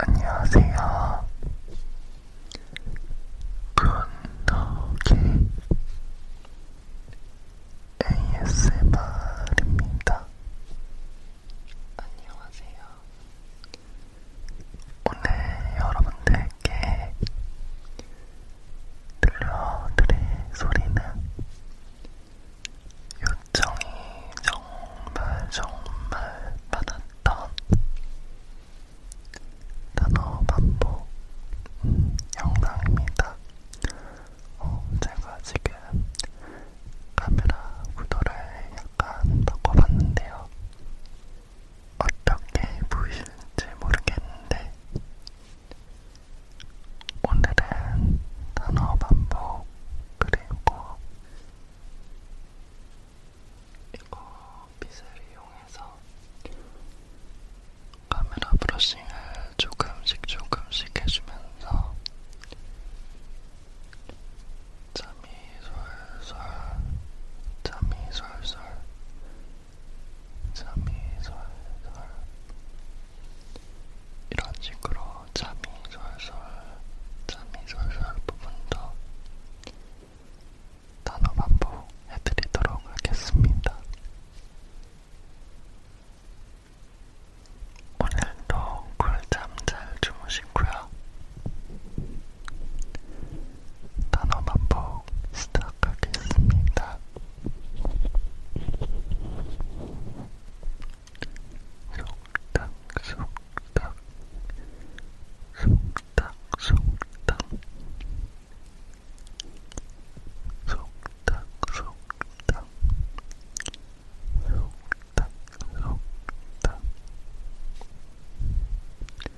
안녕하세요. 굿노기 ASMR입니다. 안녕하세요. 오늘 여러분들께 들려드릴 소리는 요청이 정말 정말 많았던 단어 반복 음, 영상입니다. 어, 제가 지금 카메라 구도를 약간 바꿔봤는데요. 어떻게 보이실지 모르겠는데, 오늘은 단어 반복 그리고 이거 빗을 이용해서 카메라 브러싱을 조금씩 조금씩 해주면서 잠이 솔솔 잠이 솔솔 잠이 솔솔 이런 식으로 잠이 솔솔 잠이 솔솔 부분도 단어 반복 해드리도록 하겠습니다. 오늘도 꿀잠 잘 주무시고요. 단어 반복 시작하겠습니다. 속닥 속닥 속닥 속닥 속닥 속닥 속닥 속닥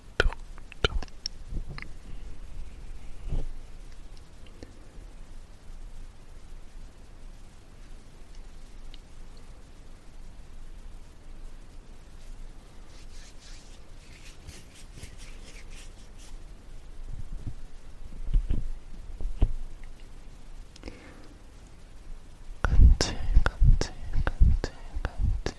톡톡 간질 간질 간질 간질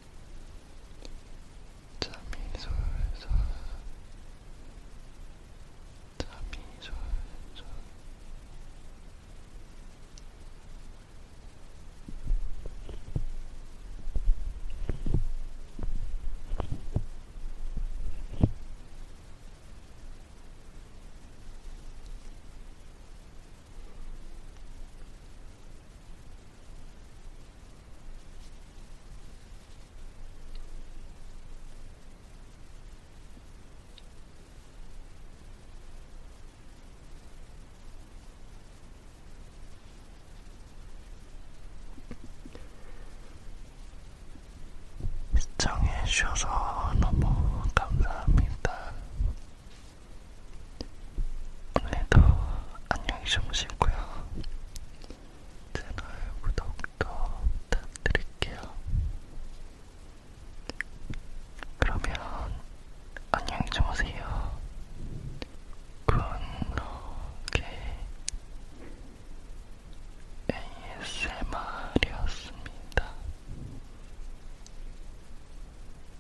잠이 솔솔 잠이 솔솔 잠이 시청해주셔서 너무 감사합니다. 오늘도 안녕히 주무시고요. 채널 구독도 부탁드릴게요. 그러면 안녕히 주무세요. 굿노게 ASMR이었습니다.